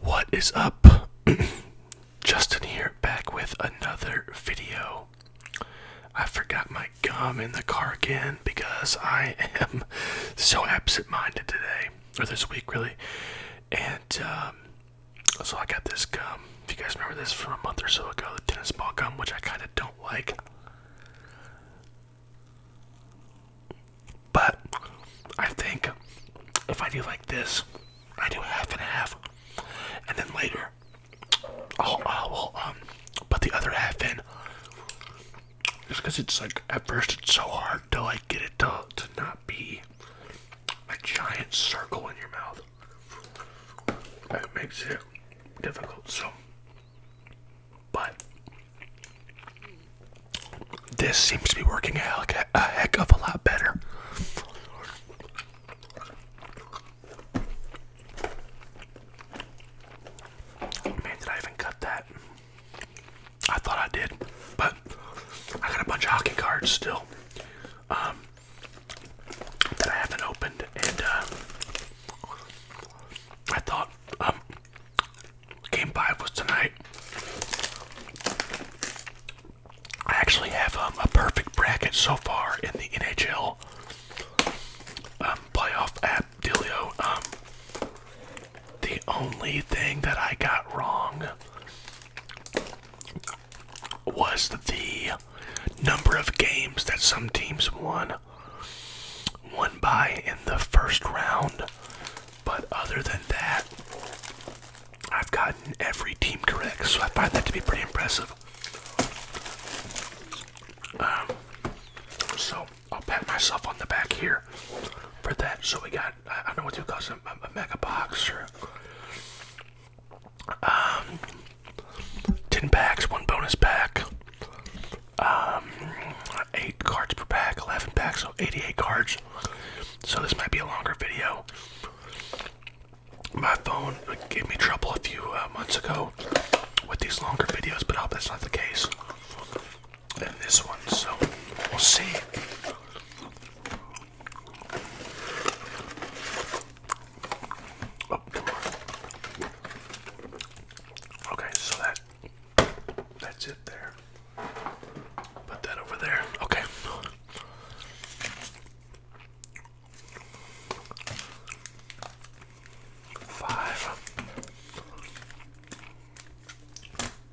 What is up? Justin here, back with another video. I forgot my gum in the car again because I am so absent minded today, or this week really. And um, so I got this gum. If you guys remember this from a month or so ago, the tennis ball gum, which I kind of don't like. But I think if I do like this, I do half and half, and then later I'll, I'll um, put the other half in. Just because it's like at first it's so hard to like get it to not be a giant circle in your mouth. That makes it difficult. So, but this seems to be working out a, a heck of a lot better. Man, did I even cut that? I thought I did, but I got a bunch of hockey cards still um, that I haven't opened, and uh, I thought um, Game five was tonight. I actually have um, a perfect bracket so far in the NHL um, playoff at Delio. Um, the only thing that I got wrong was the number of games that some teams won, won by in the first round. But other than that, I've gotten every team correct, so I find that to be pretty impressive. Um, so I'll pat myself on the back here for that. So we got, I don't know what you call it, a, mega box um, 10 packs, one bonus pack, um, eight cards per pack, 11 packs, so 88 cards. So this might be a longer video. My phone gave me trouble a few uh, months ago with these longer videos, but I hope that's not the case. And this one, so we'll see. Oh, okay, so that that's it there. Put that over there. Okay. Five,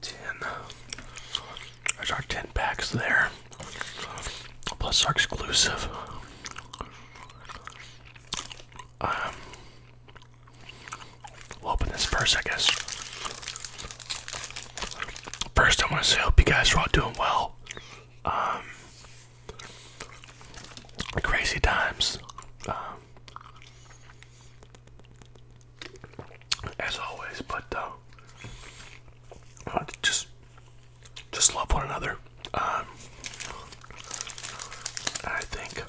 ten. There's our ten packs there. Plus our exclusive. Um, open this first, I guess. First, I want to say, hope you guys are all doing well. Um, crazy times. Um, as always, but uh, just just love one another. Um, I think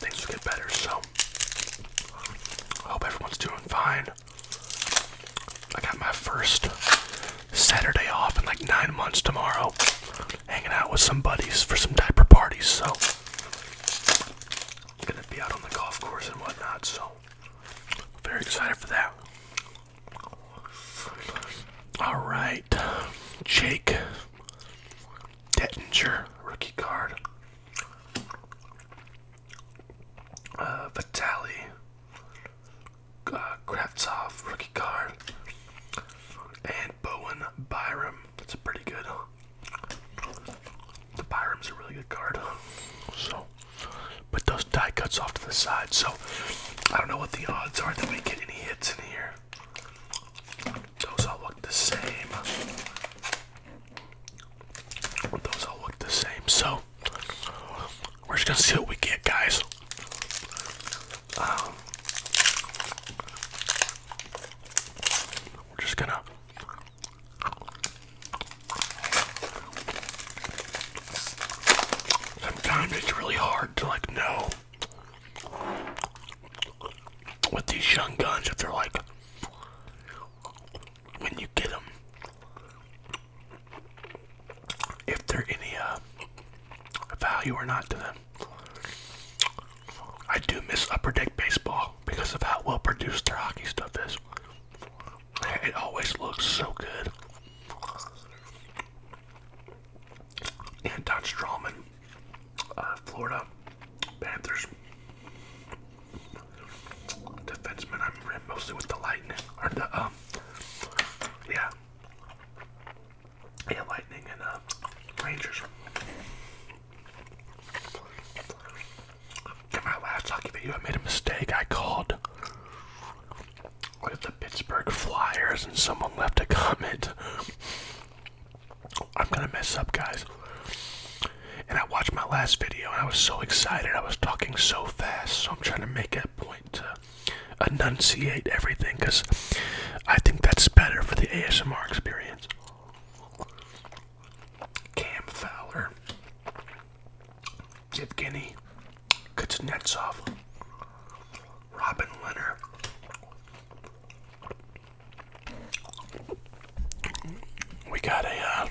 things will get better. So, I hope everyone's doing fine. I got my first Saturday off in like nine months tomorrow, hanging out with some buddies for some diaper parties. So, I'm gonna be out on the golf course and whatnot. So, very excited for that. All right, Jake Dettinger, rookie card. Uh, Vitali, uh, Kravtsov, rookie card, and Bowen Byram. That's pretty good. The Byram's a really good card. So, put those die cuts off to the side. So, I don't know what the odds are that we get any hits in here. Those all look the same. Those all look the same. So we're just gonna see what we get, guys. Um, we're just gonna. Sometimes it's really hard to like know with these young guns if they're like when you get them, if they're any uh, value or not to them. I do miss upper deck baseball because of how well produced their hockey stuff is. It always looks so good. And Anton Strawman. Uh, Florida Panthers defenseman. I am mostly with the Lightning or the um, yeah, yeah, Lightning and uh, Rangers. In my last hockey video, I made a mistake. I called with the Pittsburgh Flyers, and someone left a comment. I'm gonna mess up, guys. And I watched my last video and I was so excited. I was talking so fast, so I'm trying to make a point to enunciate everything because I think that's better for the ASMR experience. Cam Fowler, Evgeny Kuznetsov, Robin Leonard, we got a,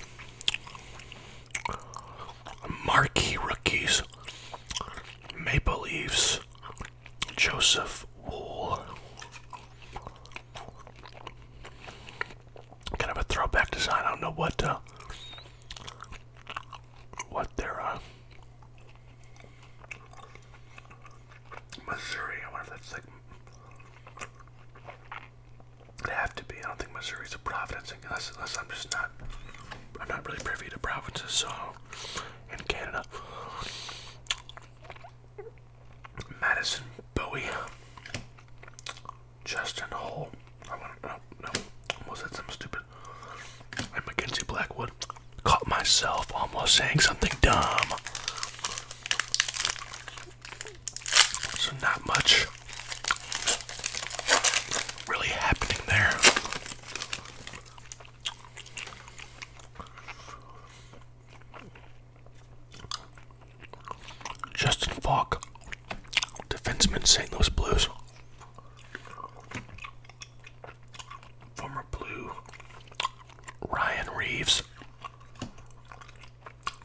uh, marquee rookies, Maple Leafs, Joseph Wool. Kind of a throwback design. I don't know what uh, what their uh, Missouri. I wonder if that's like. It'd to be. I don't think Missouri's a province unless, unless I'm just not. I'm not really privy to provinces, so. In Canada. Madison Bowie. Justin Hole. I want to. Oh, no, no. Almost said something stupid. And Mackenzie Blackwood. Caught myself almost saying something dumb. So, not much really happening there. Justin Falk, defenseman, St. Louis Blues. Former Blue Ryan Reeves Davis,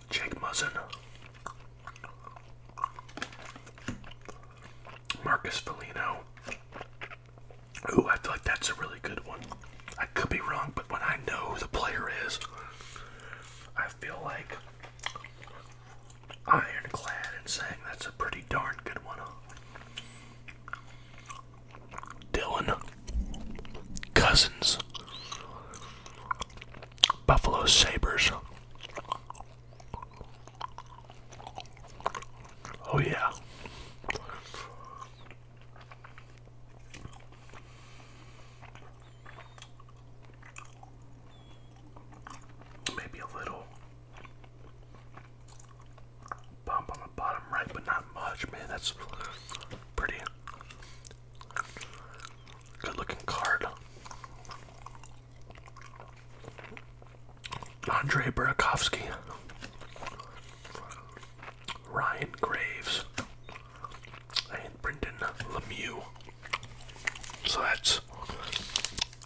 Jake Muzzin, Marcus Foligno. Ooh, I feel like that's a really good one. I could be wrong, but when I know who the player is, I feel like ironclad in saying that's a pretty darn good one. Dylan Cousins, Buffalo Sabres. Oh, yeah. Maybe a little bump on the bottom right, but not much, man. That's pretty Good looking card. Andre Burakovsky. Ryan Graves. And Brendan Lemieux. So that's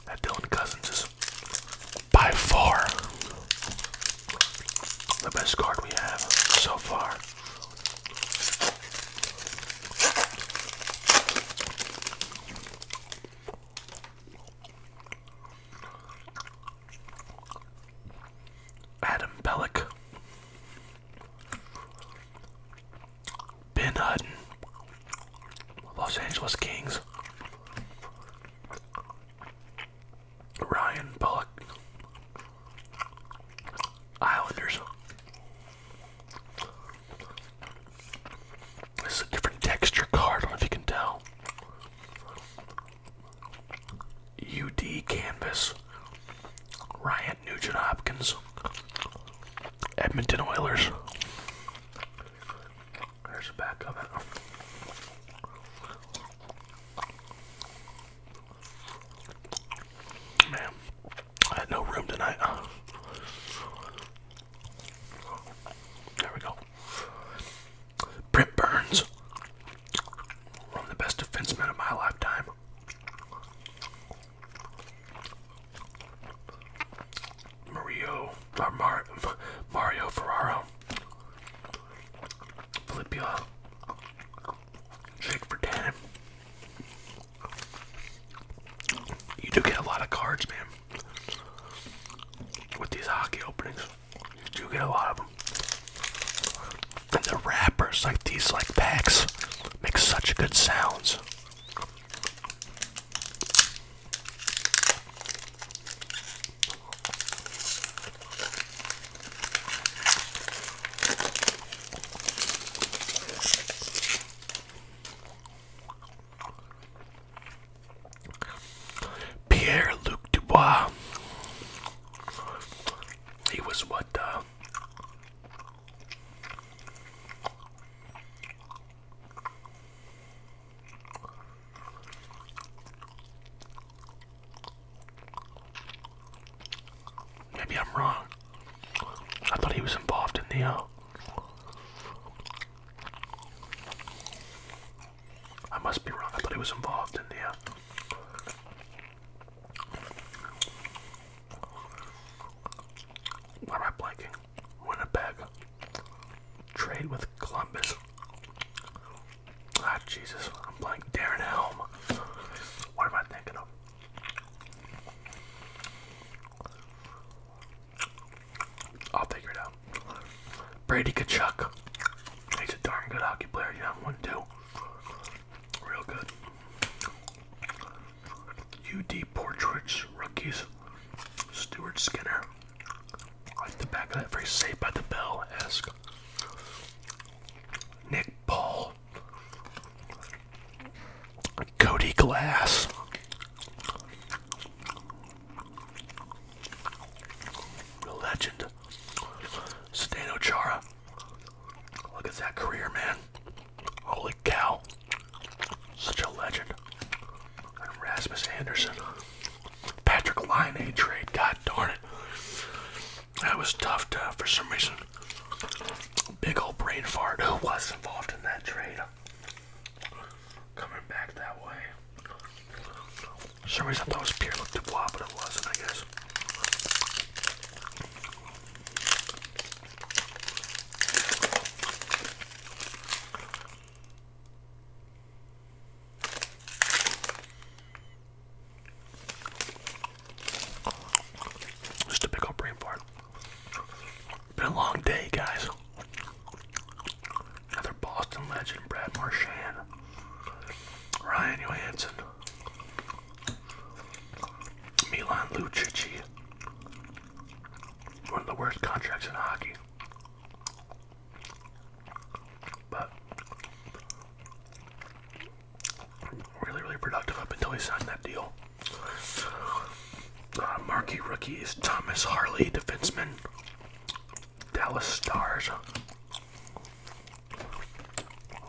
that Dylan Cousins is by far the best card we have so far. Adam Pellick, Ben Hutton, Los Angeles Kings, Ryan Bullock, Islanders. This is a different texture card. I don't know if you can tell. UD Canvas, Ryan Nugent Hopkins, Edmonton Oilers. There's the back of it. Man, I had no room tonight. There we go. Brent Burns, one of the best defensemen of my lifetime. Mario, uh, Mario Ferraro, Filippula, uh, Shake for 10. You do get a lot of cards, man. With these hockey openings, you do get a lot of them. And the wrappers, like these, like packs, make such good sounds. Pierre-Luc Dubois. He was what uh, Maybe I'm wrong. I thought he was involved in Neo. Uh, I must be wrong. I thought he was involved in Neo. Uh, why am I blanking? Winnipeg. Trade with Columbus. Ah, Jesus, I'm playing Darren Helm. What am I thinking of? I'll figure it out. Brady Kachuk. He's a darn good hockey player. You have one too. Real good. UD Portraits rookies. Stuart Skinner. like the back of that. Very safe by the bell esque. Nick Paul, Cody Glass. The legend, Zdeno Chara. Look at that career, man. Holy cow. Such a legend. And Rasmus Anderson. Patrick Line trade, god darn it. That was tough for some reason. Big old brain fart. Who was involved in that trade? Coming back that way. some reason I thought it was Pierre Luc but it wasn't, I guess. Just a big old brain fart. Been a long day, guys. Another Boston legend, Brad Marchand, Ryan Johansson, Milan Lucic. One of the worst contracts in hockey. But really, really productive up until he signed that deal. Uh, marquee rookie is Thomas Harley, defenseman, Dallas Stars.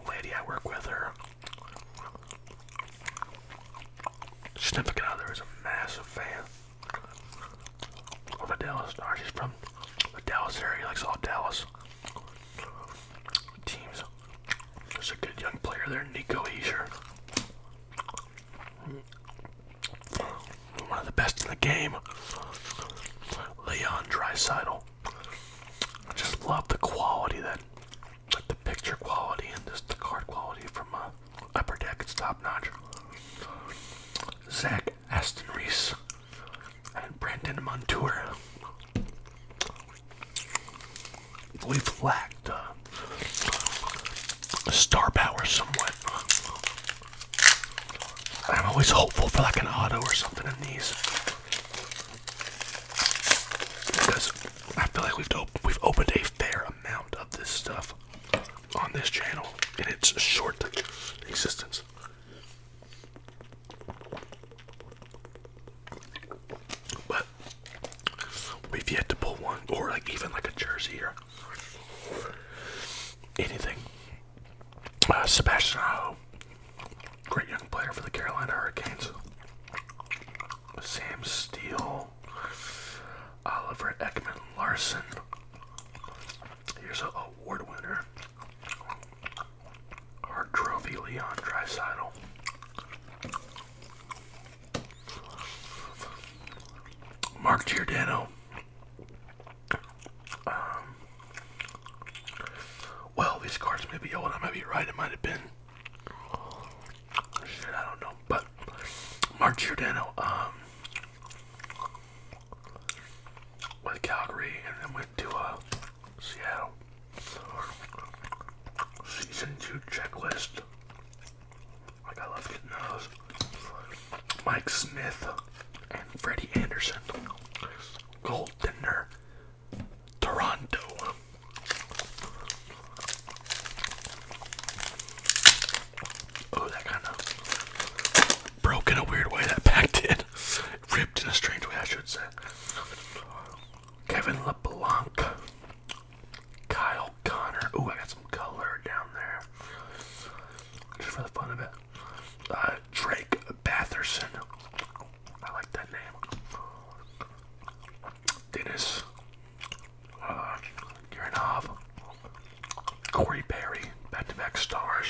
Lady I work with her. Significant other is a massive fan of the Dallas Stars. He's from the Dallas area. likes all Dallas teams. There's a good young player there, Nico Heiser. One of the best in the game. Leon Dreisidel. I just love the quality that, the picture quality and just the card quality from uh, Upper Deck. It's top notch. Zach Aston Reese and Brandon Montour. We've lacked uh, star power somewhat. I'm always hopeful for like an auto or something in these because I feel like we've we've opened a fair amount of this stuff on this channel in its short existence. But we've yet to pull one, or like even like a jersey or anything. Uh, Sebastian Aho, great young player for the Carolina Hurricanes. Sam Steele, Oliver Ekman Larson. Here's an award winner. Our trophy Leon Dreisidel. Mark Giordano. Um, well, these cards may be old. I might be right. It might have been. Shit, I don't know. But Mark Giordano um, with Calgary, and then with to uh, Seattle. Season 2 checklist. Like, I love getting those. Mike Smith and Freddie Anderson. Gold Toronto. Oh, that kind of broke a weird way that pack did. Ripped in a strange way, I should say. Kevin LeBlanc, Kyle Connor. Ooh, I got some color down there. Just for the fun of it. Uh, Drake Batherson. I like that name. Dennis uh, Corey Perry. Back to back stars.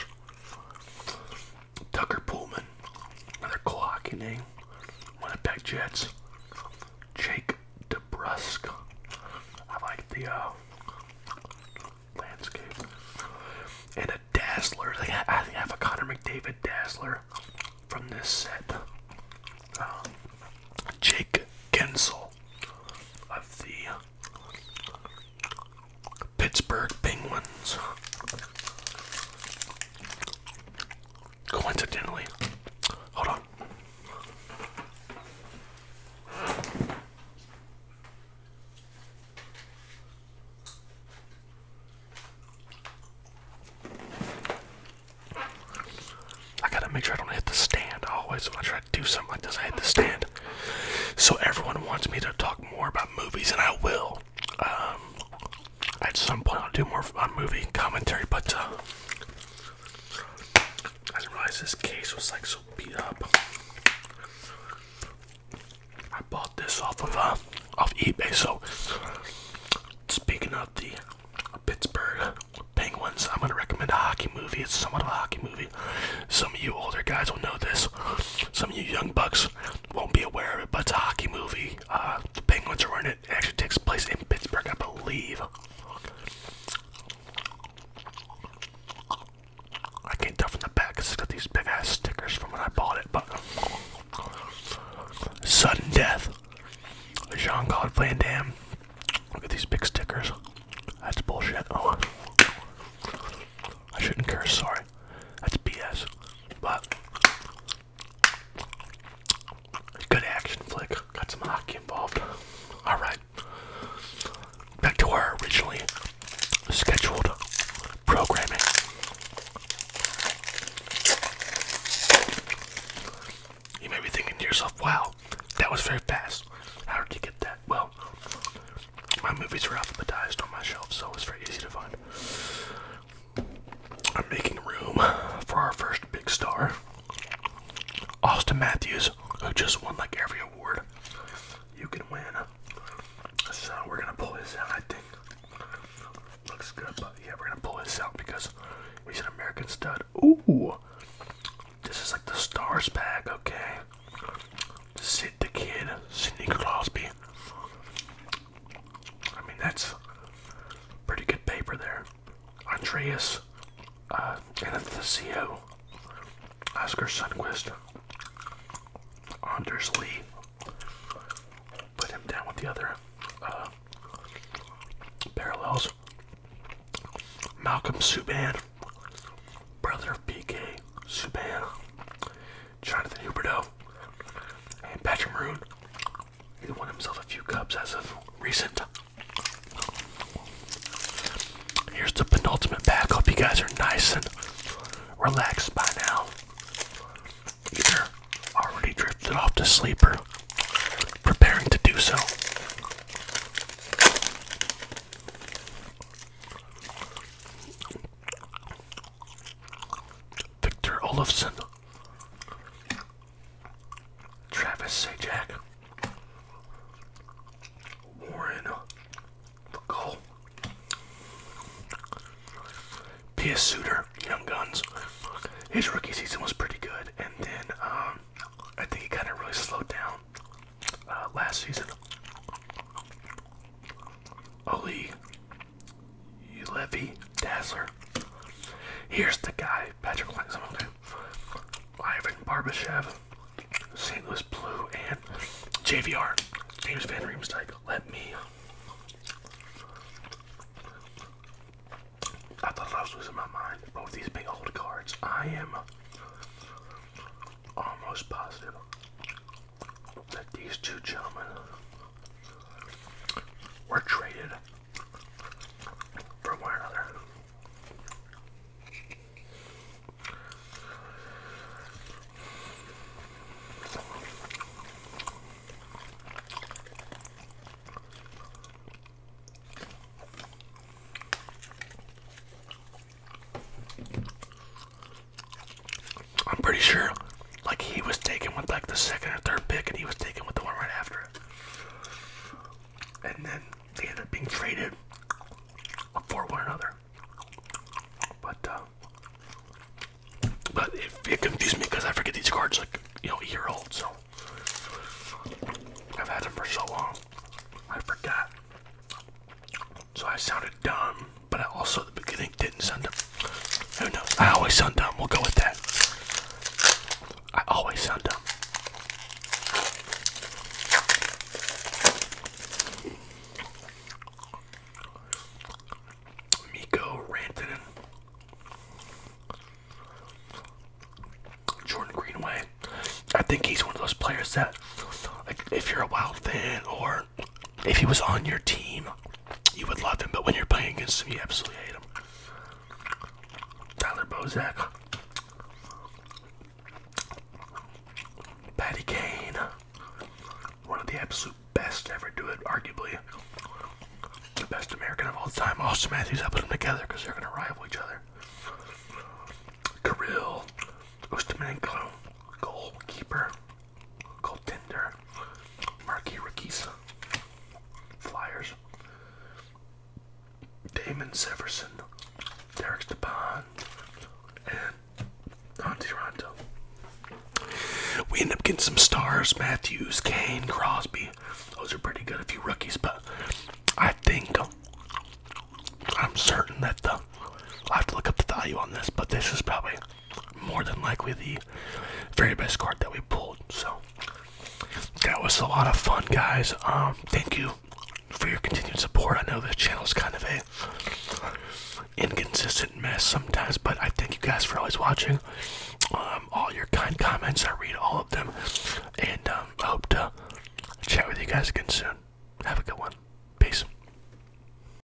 Tucker Pullman, another Kowaki name, Winnipeg Jets, Jake DeBrusque. I like the uh, landscape. And a Dazzler. I think I have a Connor McDavid Dazzler from this set. Um, Jake Gensel of the Pittsburgh Penguins. Coincidentally, hold on. I gotta make sure I don't hit the stand. always, when I try to do something like this, I hit the stand. So everyone wants me to talk more about movies, and I will. Um, at some point, I'll do more uh, movie commentary, but uh, I didn't realize this case was like so beat up. I bought this off of uh, eBay. So, speaking of the Pittsburgh Penguins, I'm gonna recommend a hockey movie. It's somewhat of a hockey movie. Some of you older guys will know this. Some of you young bucks won't be aware of it, but it's a hockey movie. Uh, the Penguins are in it. actually takes place in Pittsburgh, I believe. I can't tell from the back it's got these big ass stickers from when I bought it, but. Sudden death. Jean Claude Van Damme. Look at these big stickers. That's bullshit. Oh. I shouldn't curse, sorry. That's BS. But good action flick. Got some hockey involved. Alright. Back to our originally scheduled programming. You may be thinking to yourself, wow, that was very fast. How did you get that? Well, my movies are alphabetized on my shelf, so it's very easy to find. I'm making room for our first big star, Austin Matthews, who just won like every award you can win. So we're gonna pull this out, I think. Looks good, but yeah, we're gonna pull this out because he's an American stud. Ooh, this is like the stars pack, okay the Kid, Sidney Crosby. I mean, that's pretty good paper there. Andreas uh, Oscar Sundquist, Anders Lee. Put him down with the other uh, parallels. Malcolm Subban, brother of PK Subban, Jonathan Huberto, and Patrick Maroon. He won himself a few cups as of recent. Here's the penultimate pack. Hope you guys are nice and relaxed by now. Either already drifted off to sleep or preparing to do so. Victor Olofsson, Travis Sajak, Warren McCall, Pia Suter, Young Guns. His rookie season was pretty good, and then um, I think he kind of really slowed down uh, last season. Ali Levy Dazzler. Here's the guy, Patrick Langsam, okay? Ivan Barbashev, St. Louis Blue, and JVR, James Van Riemsdyk. Let me. I thought I was losing my mind. Both these big old cards. I am almost positive that these two gentlemen were traded for one another. I'm pretty sure like he was taken with like the second or third pick and he was taken with the one right after it. And then they ended up being traded for one another. But uh, but it, it confused me because I forget these cards like you know a year old, so I've had them for so long. I forgot. So I sounded dumb, but I also at the beginning didn't sound dumb. Who knows? I always sound dumb. We'll go with that. I always sound dumb. Miko Rantanen. Jordan Greenway. I think he's one of those players that, like, if you're a wild fan or if he was on your team, you would love him. But when you're playing against him, you absolutely hate him. Tyler Bozak, Patty Kane, one of the absolute best to do it, arguably the best American of all time. Austin Matthews, I put them together because they're going to rival each other. Kirill, Ustamenko, goalkeeper, called Tinder, Marky Rickies, Flyers, Damon Severson, Derek Stepan, and on Toronto. We end up getting some stars, Matthews, Kane, Crosby. Those are pretty good, a few rookies, but I think I'm certain that the I have to look up the value on this, but this is probably more than likely the very best card that we pulled. So that was a lot of fun, guys. Um, thank you for your continued support. I know this channel is kind of a inconsistent mess sometimes, but I thank you guys for always watching. Um, all your kind comments, I read all of them, and um, hope to chat with you guys again soon. Have a good one. Peace.